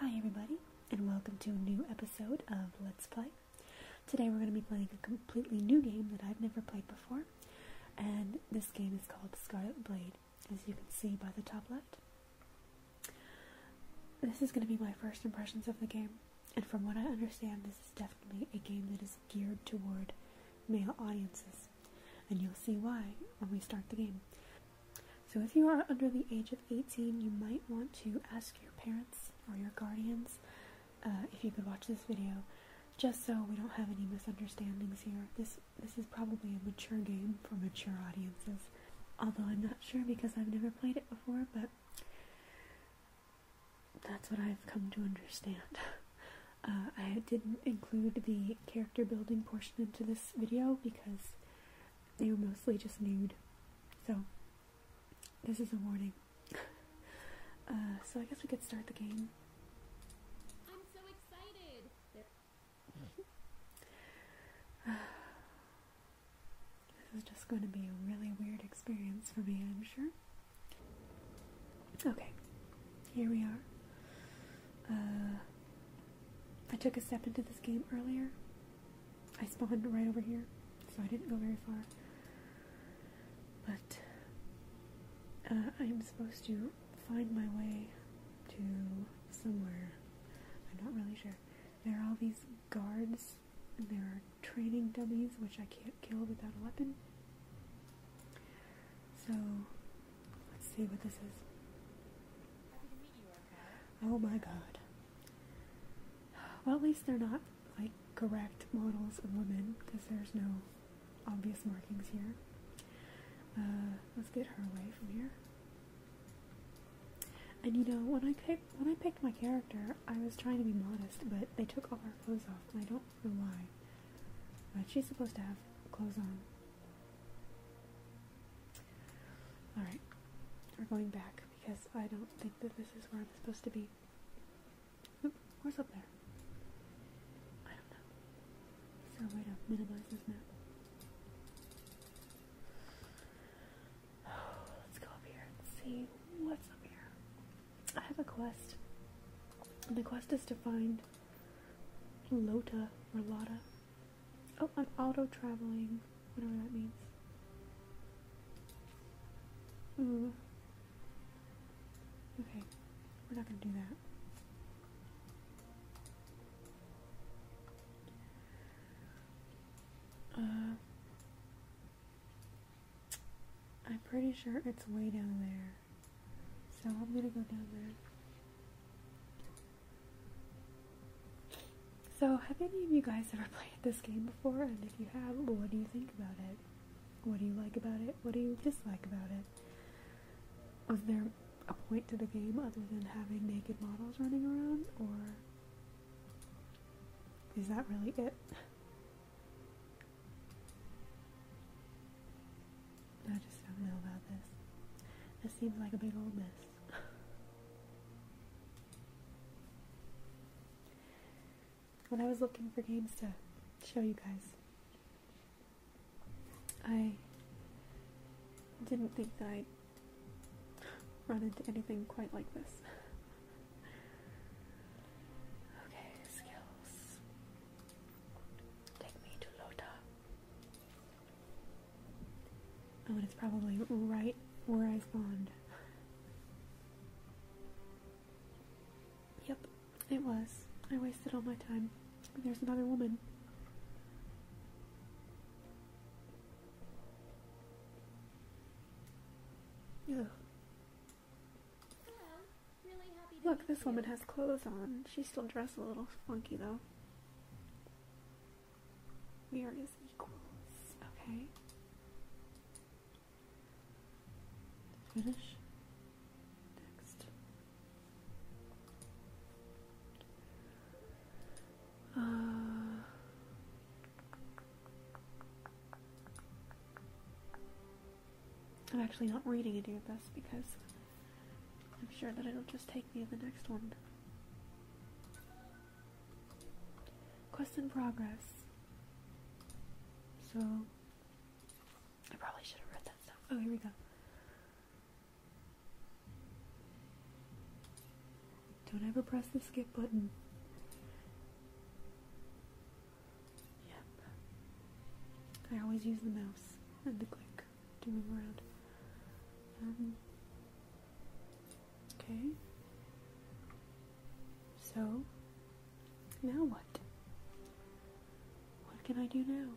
Hi, everybody, and welcome to a new episode of Let's Play. Today, we're going to be playing a completely new game that I've never played before, and this game is called Scarlet Blade, as you can see by the top left. This is going to be my first impressions of the game, and from what I understand, this is definitely a game that is geared toward male audiences, and you'll see why when we start the game. So, if you are under the age of 18, you might want to ask your parents or your guardians uh, if you could watch this video, just so we don't have any misunderstandings here. This this is probably a mature game for mature audiences, although I'm not sure because I've never played it before. But that's what I've come to understand. Uh, I didn't include the character building portion into this video because they were mostly just nude. So, this is a warning. Uh, so, I guess we could start the game. I'm so excited! this is just going to be a really weird experience for me, I'm sure. Okay, here we are. Uh, I took a step into this game earlier, I spawned right over here, so I didn't go very far. But uh, I am supposed to find my way to somewhere. I'm not really sure. There are all these guards, and there are training dummies which I can't kill without a weapon. So let's see what this is. Oh my god. Well, at least they're not like correct models of women because there's no obvious markings here. Uh, let's get her away from here. And you know, when I picked when I picked my character, I was trying to be modest, but they took all her clothes off, I don't know why. But she's supposed to have clothes on. Alright, we're going back because I don't think that this is where I'm supposed to be. Oop, where's up there? I don't know. Is there a way to minimize this map? let's go up here and see what's up here. I have a quest. the quest is to find Lota or Lotta. Oh, I'm auto traveling, whatever that means. Okay, we're not gonna do that. Uh, I'm pretty sure it's way down there, so I'm gonna go down there. So, have any of you guys ever played this game before? And if you have, what do you think about it? What do you like about it? What do you dislike about it? Was there a point to the game other than having naked models running around? Or is that really it? I just don't know about this. This seems like a big old mess when I was looking for games to show you guys, I didn't think that I'd run into anything quite like this. Okay, skills. Take me to Lota. Oh, and it's probably right where I spawned. Yep, it was. I wasted all my time. There's another woman. Ugh. Look, this woman has clothes on. She's still dressed a little funky, though. We are as equals, okay? Finish. Next. Uh, I'm actually not reading any of this because I'm sure that it'll just take me to the next one. Quest in progress. So, I probably should have read that stuff. Oh, here we go. Don't ever press the skip button. Yep. I always use the mouse and the click to move around. Um, Okay. So, now what? What can I do now?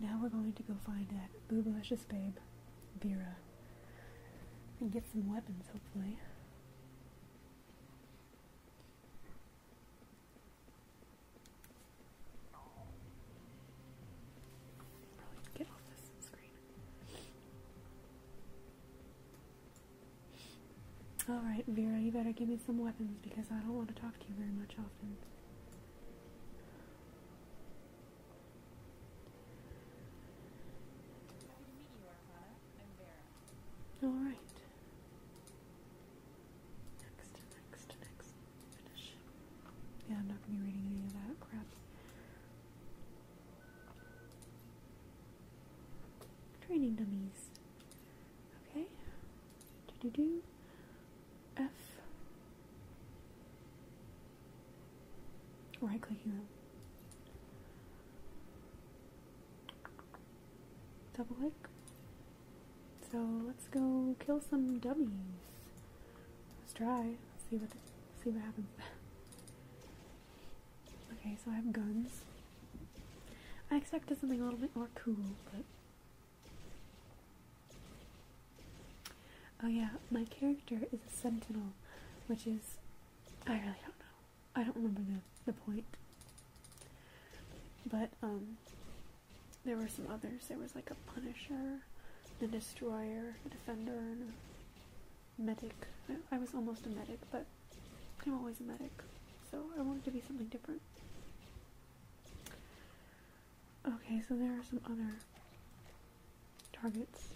Now we're going to go find that boobalicious babe, Vera, and get some weapons, hopefully. Alright, Vera, you better give me some weapons because I don't want to talk to you very much often. Alright. Next, next, next. Finish. Yeah, I'm not going to be reading any of that crap. Training dummies. Okay. Do do do. F. Right clicking them. Double click. So let's go kill some dummies. Let's try. See what see what happens. okay, so I have guns. I expected something a little bit more cool, but oh yeah, my character is a sentinel, which is I really don't know. I don't remember the the point. But um, there were some others. There was like a Punisher, the Destroyer, the Defender, and a medic. I, was almost a medic, but I'm always a medic, so I wanted to be something different. Okay, so there are some other targets.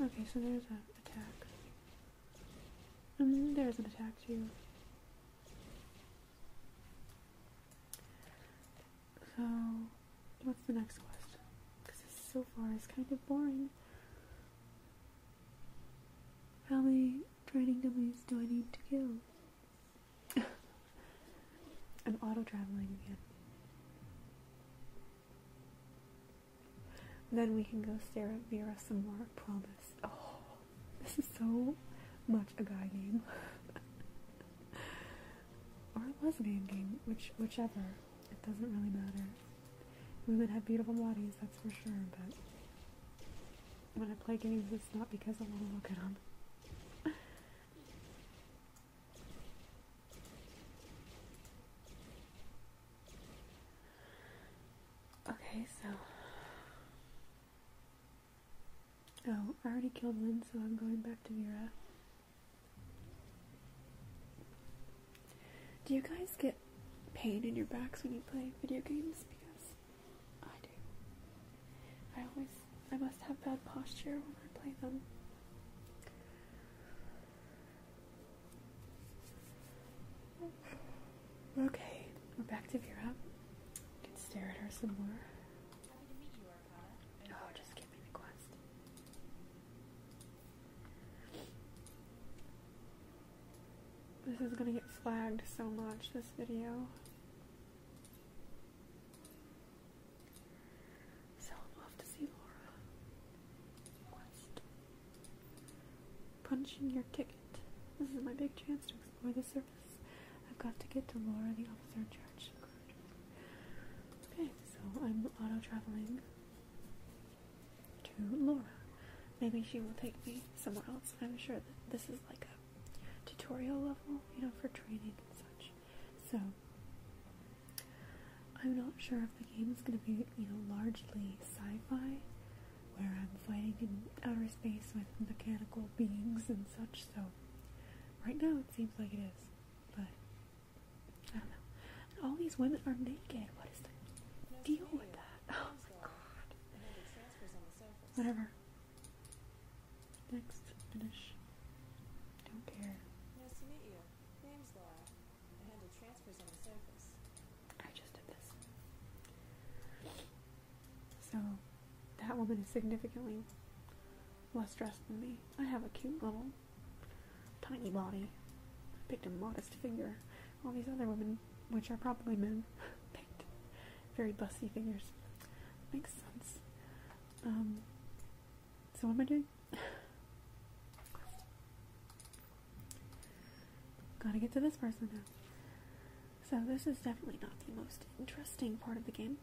Okay, so there's an attack. Mm-hmm, there's an attack too. So, what's the next question? Because this so far is kind of boring. How many training dummies do I need to kill? i auto traveling again. Then we can go stare at Vera some more, promise. Oh. This is so much a guy game, or a lesbian game, which whichever. It doesn't really matter. Women have beautiful bodies, that's for sure, but when I play games it's not because I want to look at them. Okay, so Oh, I already killed one, so I'm going back to Vera. Do you guys get pain in your backs when you play video games? Because I do. I always, I must have bad posture when I play them. Okay, we're back to Vera. can stare at her some more oh, just give me the quest. This is gonna get flagged so much, this video. So i to see Laura. Quest. Punching your ticket. This is my big chance to for the service, I've got to get to Laura, the officer in charge. Okay, so I'm auto traveling to Laura. Maybe she will take me somewhere else. I'm sure that this is like a tutorial level, you know, for training and such. So I'm not sure if the game is going to be, you know, largely sci-fi, where I'm flying in outer space with mechanical beings and such. So right now it seems like it is, but I don't know. all these women are naked. What is the deal with that? Oh my god. Whatever. Next, finish. Don't care. Nice to meet you. Name's Laura. I handle transfers on the surface. I just did this. So that woman is significantly less dressed than me. I have a cute little tiny body. I picked a modest figure. All these other women, which are probably men, picked very busty figures. Makes sense. Um, so what am I doing? Gotta get to this person now. So this is definitely not the most interesting part of the game.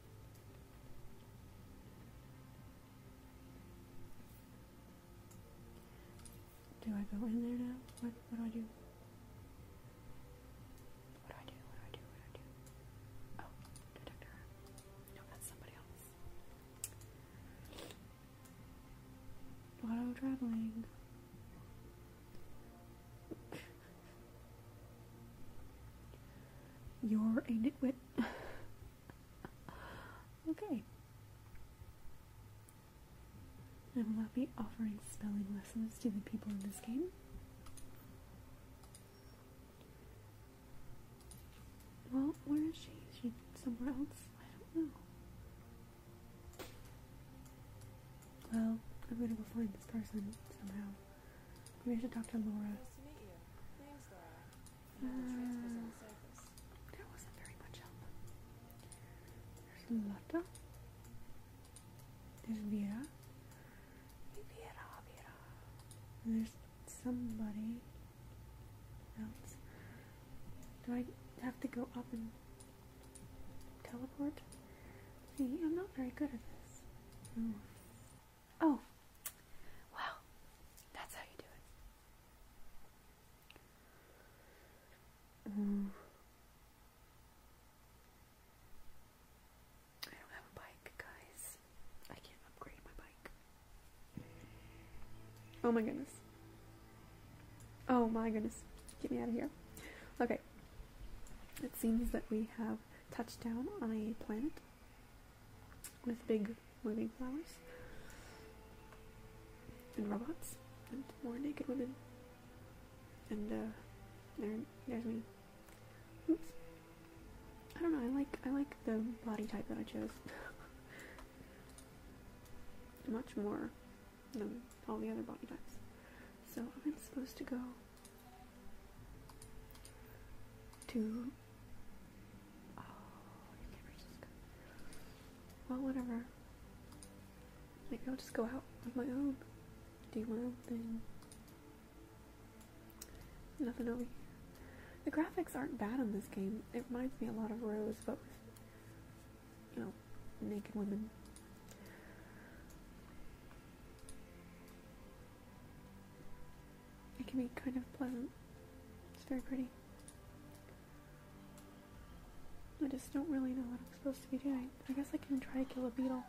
Do I go in there now? What, what do I do? What do I do? What do I do? Oh, detector. No, that's somebody else. Auto traveling. You're a nitwit. okay. I will not be offering spelling lessons to the people in this game. Well, where is she? Is she somewhere else? I don't know. Well, I'm gonna go find this person somehow. Maybe I should talk to Laura. Uh, that wasn't very much help. There's Lotta. There's Vera. Vera, Vera. there's somebody else. Do I have to go up and teleport? See, I'm not very good at this. Oh, oh. wow, that's how you do it. Mm. I don't have a bike, guys. I can't upgrade my bike. Oh my goodness. Oh my goodness. Get me out of here. Okay. It seems that we have touch down on a planet with big moving flowers and robots and more naked women. And uh, there's me. Oops. I don't know. I like I like the body type that I chose. Much more than all the other body types. So I'm supposed to go to oh, whatever. Maybe I'll just go out on my own. Do my own thing. Nothing over here. The graphics aren't bad on this game. It reminds me a lot of Rose, but with, you know, naked women. It can be kind of pleasant. It's very pretty. I just don't really know what I'm supposed to be doing. I guess I can try to kill a beetle.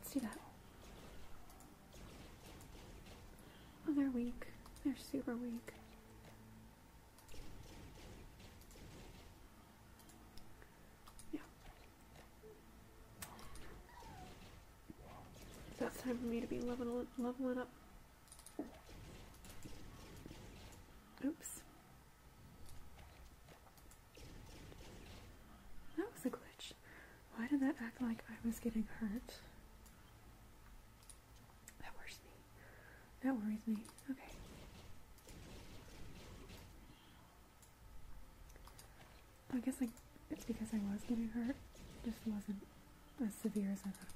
Let's do that. Oh, they're weak. They're super weak. Yeah. So it's time for me to be leveling, leveling up. Oops. That was a glitch. Why did that act like I was getting hurt? That worries me. That worries me. Okay. I guess like it's because I was getting hurt. It just wasn't as severe as I thought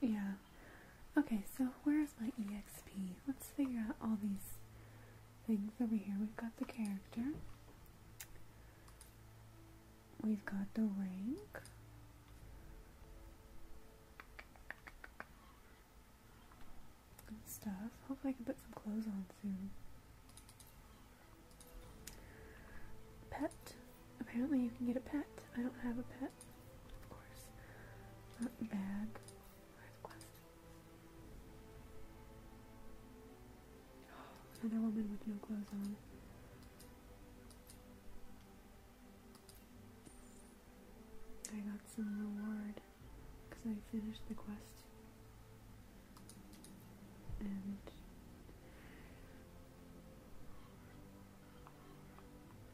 it was. Yeah. Okay, so where's my EXP? Let's figure out all these things over here. We've got the character. We've got the rank. Good stuff. Hopefully I can put some clothes on soon. Pet. Apparently you can get a pet. I don't have a pet. Of course. Not bad. Quest? another woman with no clothes on. I got some reward because I finished the quest. And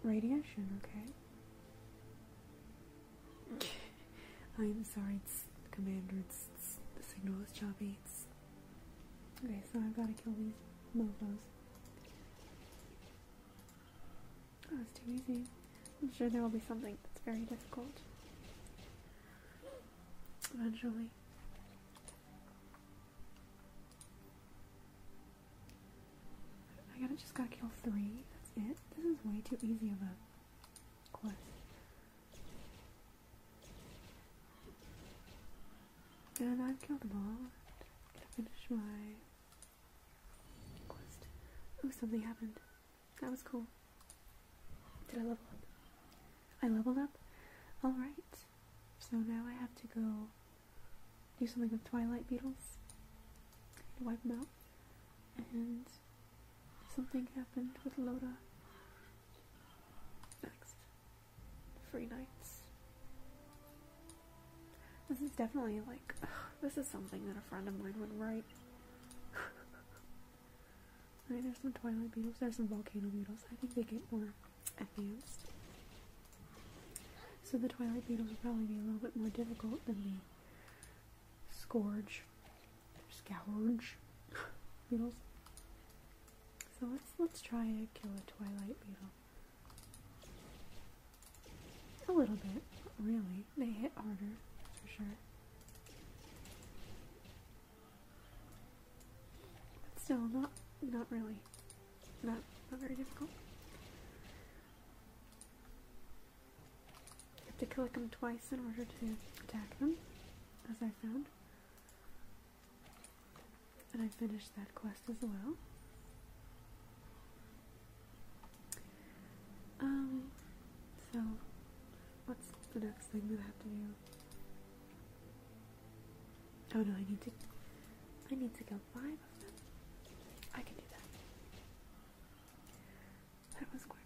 radiation, okay? I'm sorry, commander, it's, it's, the signal is choppy. It's, okay, so I've got to kill these mofos. Oh, that was too easy. I'm sure there will be something that's very difficult. Eventually. I gotta just gotta kill three. That's it. This is way too easy of a quest. And I've killed them all. Gotta finish my Quest. Oh, something happened. That was cool. Did I level up? I leveled up? Alright. So now I have to go do something with Twilight Beetles. Wipe them out. And something happened with Loda. Next. Free nights. This is definitely like, this is something that a friend of mine would write. I mean, there's some twilight beetles, there's some volcano beetles. I think they get more advanced. So the twilight beetles would probably be a little bit more difficult than the scourge, scourge beetles. So let's let's try to kill a twilight beetle. A little bit, really. They hit harder, for sure. But still, not not really. Not not very difficult. You have to click them twice in order to attack them, as I found. And I finished that quest as well. Um, so what's the next thing that have to do? Oh no, I need to I need to kill five of them. I can do that. That was quick.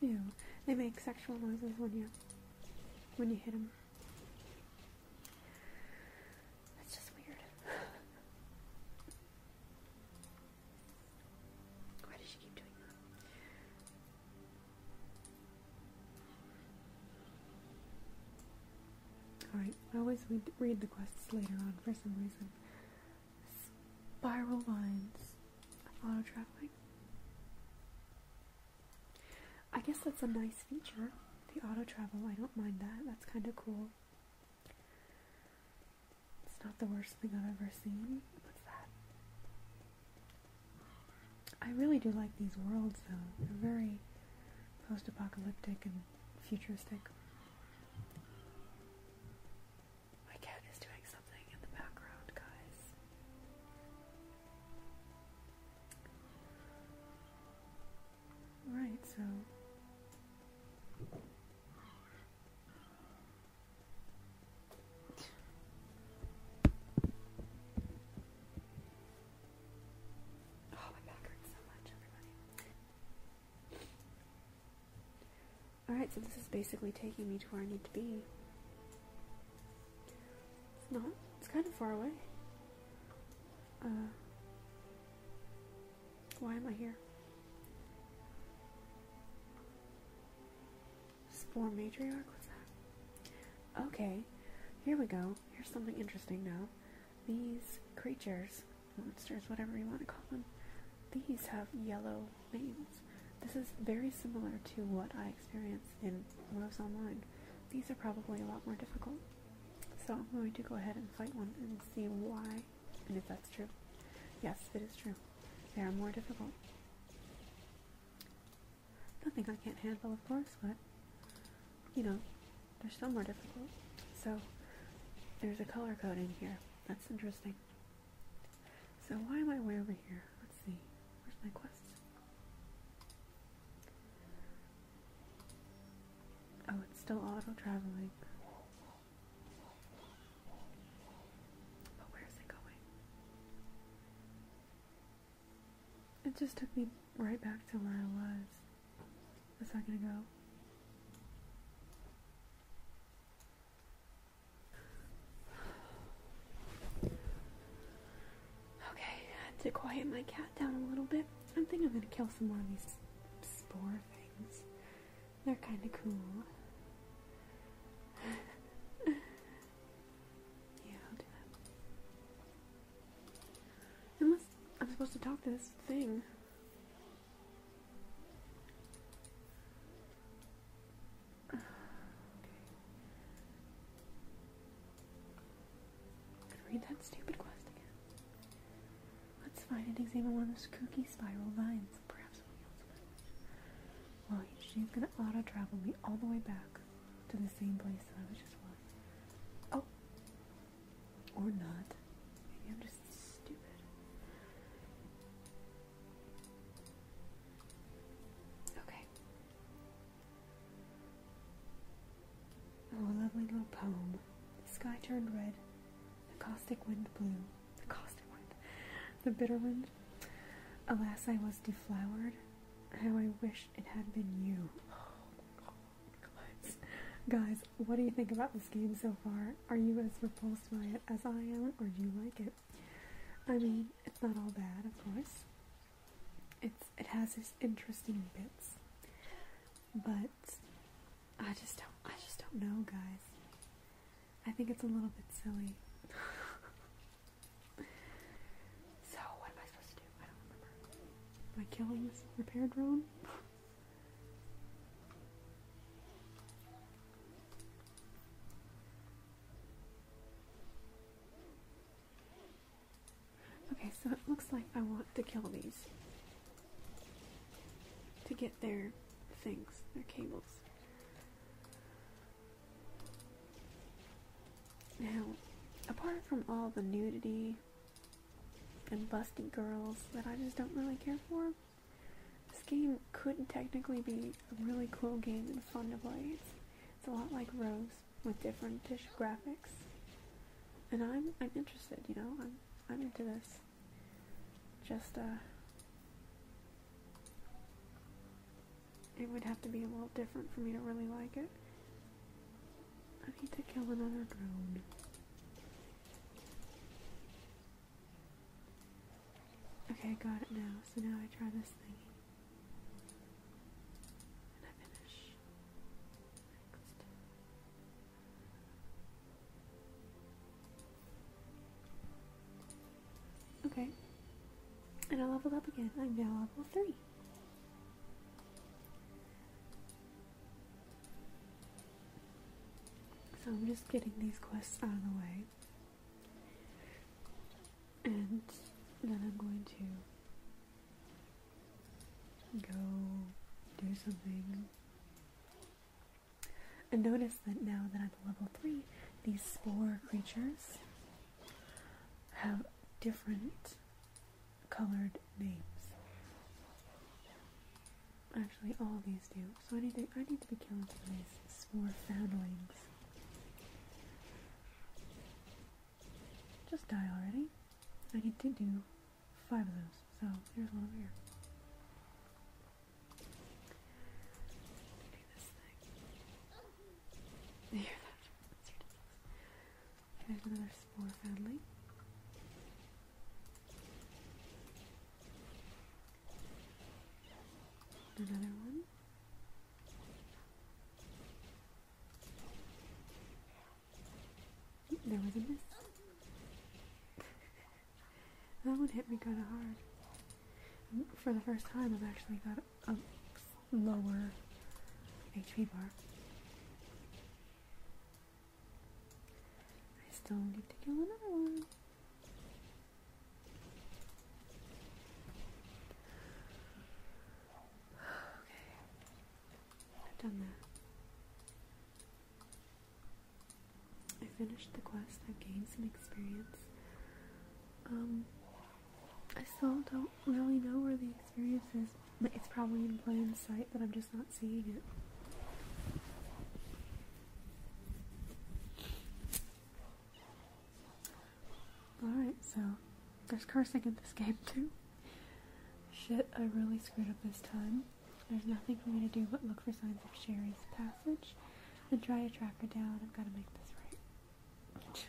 Ew, they make sexual noises when you when you hit them. That's just weird. Why does she keep doing that? Alright, I always read the quests later on for some reason. Spiral lines. Auto traveling. I guess that's a nice feature. The auto travel, I don't mind that. That's kind of cool. It's not the worst thing I've ever seen. What's that? I really do like these worlds though. They're very post apocalyptic and futuristic. My cat is doing something in the background, guys. Right, so Oh, my back hurts so much, everybody. Alright, so this is basically taking me to where I need to be. It's not. It's kind of far away. Uh, why am I here? Spore matriarch? What's that? Okay, here we go. Here's something interesting now. These creatures, monsters, whatever you want to call them, these have yellow names. This is very similar to what I experienced in Rose Online. These are probably a lot more difficult. So I'm going to go ahead and fight one and see why and if that's true. Yes, it is true. They are more difficult. Nothing I can't handle, of course, but you know, they're still more difficult. So there's a color code in here. That's interesting. So why am I way over here? Let's see. Where's my quest? Oh, it's still auto traveling. But where is it going? It just took me right back to where I was a second ago. Okay, I had to quiet my cat down a little bit. I am thinking I'm gonna kill some more of these spore things. They're kind of cool. yeah, i do that. I'm supposed to talk to this thing. Read that stupid quest again. Let's find and examine one of those kooky spiral vines. Perhaps we'll yield some knowledge. Well, she's gonna auto travel me all the way back to the same place that I was just was. Oh! Or not. Maybe I'm just stupid. Okay. Oh, a lovely little poem. The sky turned red, the caustic wind blew, the caustic wind, the bitter wind. Alas, I was deflowered. How I wish it had been you. Oh, guys. guys, what do you think about this game so far? Are you as repulsed by it as I am, or do you like it? I mean, it's not all bad, of course it's it has its interesting bits, but I just don't I just don't know, guys. I think it's a little bit silly. so what am I supposed to do? I don't remember. Am I killing this repaired drone? Okay, so it looks like I want to kill these to get their things, their cables. Now, apart from all the nudity and busty girls that I just don't really care for, this game could technically be a really cool game and fun to play. It's, a lot like Rose with different dish graphics. And I'm I'm interested, you know, I'm I'm into this. Just uh it would have to be a little different for me to really like it. I need to kill another drone. Okay, I got it now. So now I try this thing. Okay. And I level up again. I'm now level three. So I'm just getting these quests out of the way. And then I'm going to go do something. And notice that now that I'm level 3, these spore creatures have different colored names. Actually, all these do. So I need to, I need to be killing some of these spore foundlings. Just die already. I need to do five of those, so here's one over here. Here's another spore family. Another one. There was a miss. that one hit me kind of hard. For the first time, I've actually got a lower HP bar. I still need to kill another one. Okay. I've done that. I finished the quest. I've gained some experience. Um, I still don't really know where the experience is. But it's probably in plain sight, but I'm just not seeing it. Alright, so there's cursing in this game too. Shit, I really screwed up this time. There's nothing for me to do but look for signs of Sherry's passage and try to track her down. I've got to make this right.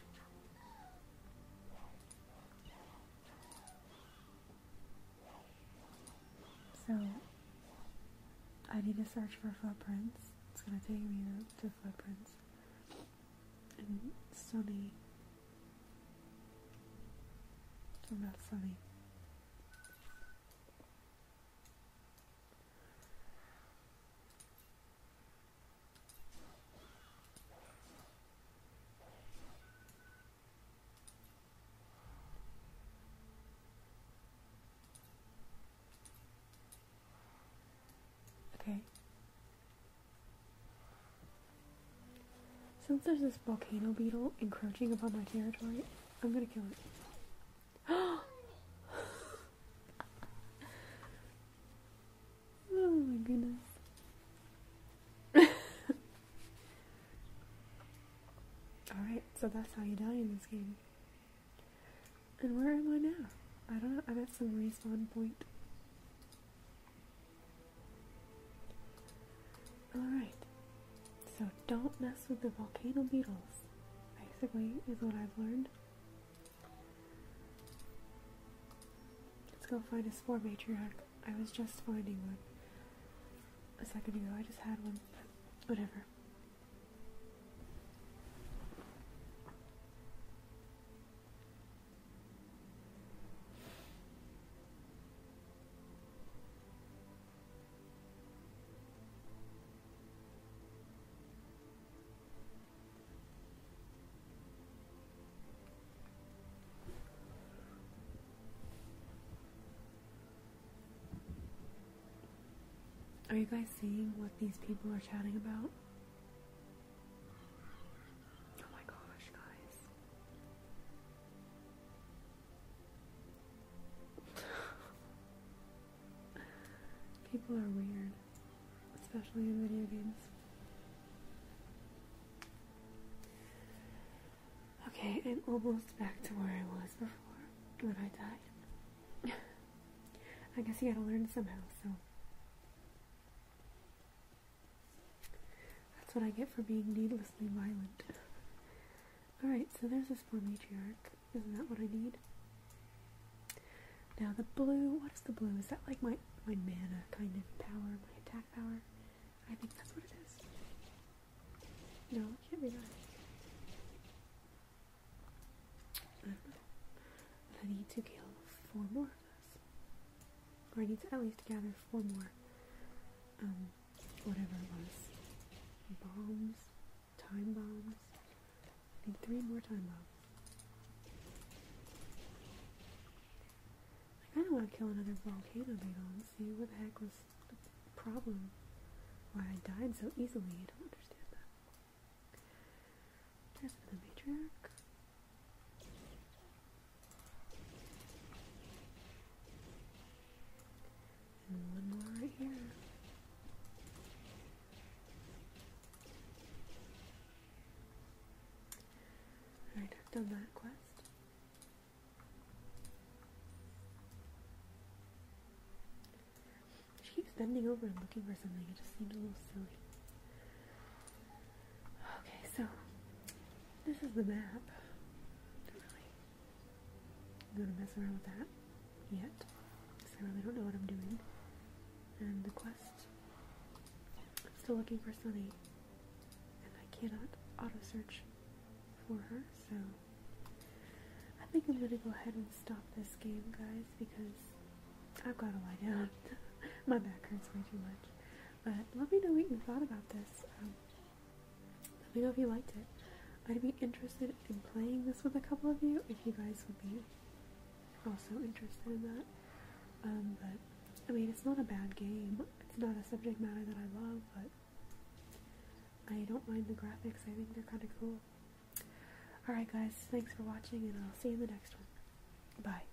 So, I need to search for footprints. It's going to take me to footprints and sunny. It's not sunny. Okay. Since there's this volcano beetle encroaching upon my territory, I'm gonna kill it. oh my goodness. Alright, so that's how you die in this game. And where am I now? I don't know, I'm at some respawn point. Alright, so don't mess with the volcano beetles, basically, is what I've learned. Let's go find a spore matriarch. I was just finding one a second ago. I just had one, but whatever. Are you guys seeing what these people are chatting about? Oh my gosh, guys. People are weird, especially in video games. Okay, I'm almost back to where I was before when I died. I guess you gotta learn somehow, so. That's what I get for being needlessly violent. Alright, so there's this poor matriarch. Isn't that what I need? Now the blue, what is the blue? Is that like my, my mana kind of power, my attack power? I think that's what it is. No, it can't be that. I need to kill four more or I need to at least gather four more. Um, whatever it was. Bombs. Time bombs. I need three more time bombs. I kinda wanna kill another volcano beetle and see what the heck was the problem. Why I died so easily, I don't understand that. There's another matriarch. And one more right here. Alright, done that quest. She keeps bending over and looking for something. It just seemed a little silly. Okay, so this is the map. Don't really I'm gonna mess around with that yet, because I really don't know what I'm doing. And the quest. I'm still looking for Sunny, and I cannot auto search for her, so I think I'm gonna go ahead and stop this game, guys, because I've gotta lie down. My back hurts way too much. But let me know what you thought about this. Um, let me know if you liked it. I'd be interested in playing this with a couple of you if you guys would be also interested in that. Um, but I mean, it's not a bad game. It's not a subject matter that I love, but I don't mind the graphics. I think they're kind of cool. Alright guys, thanks for watching and I'll see you in the next one. Bye.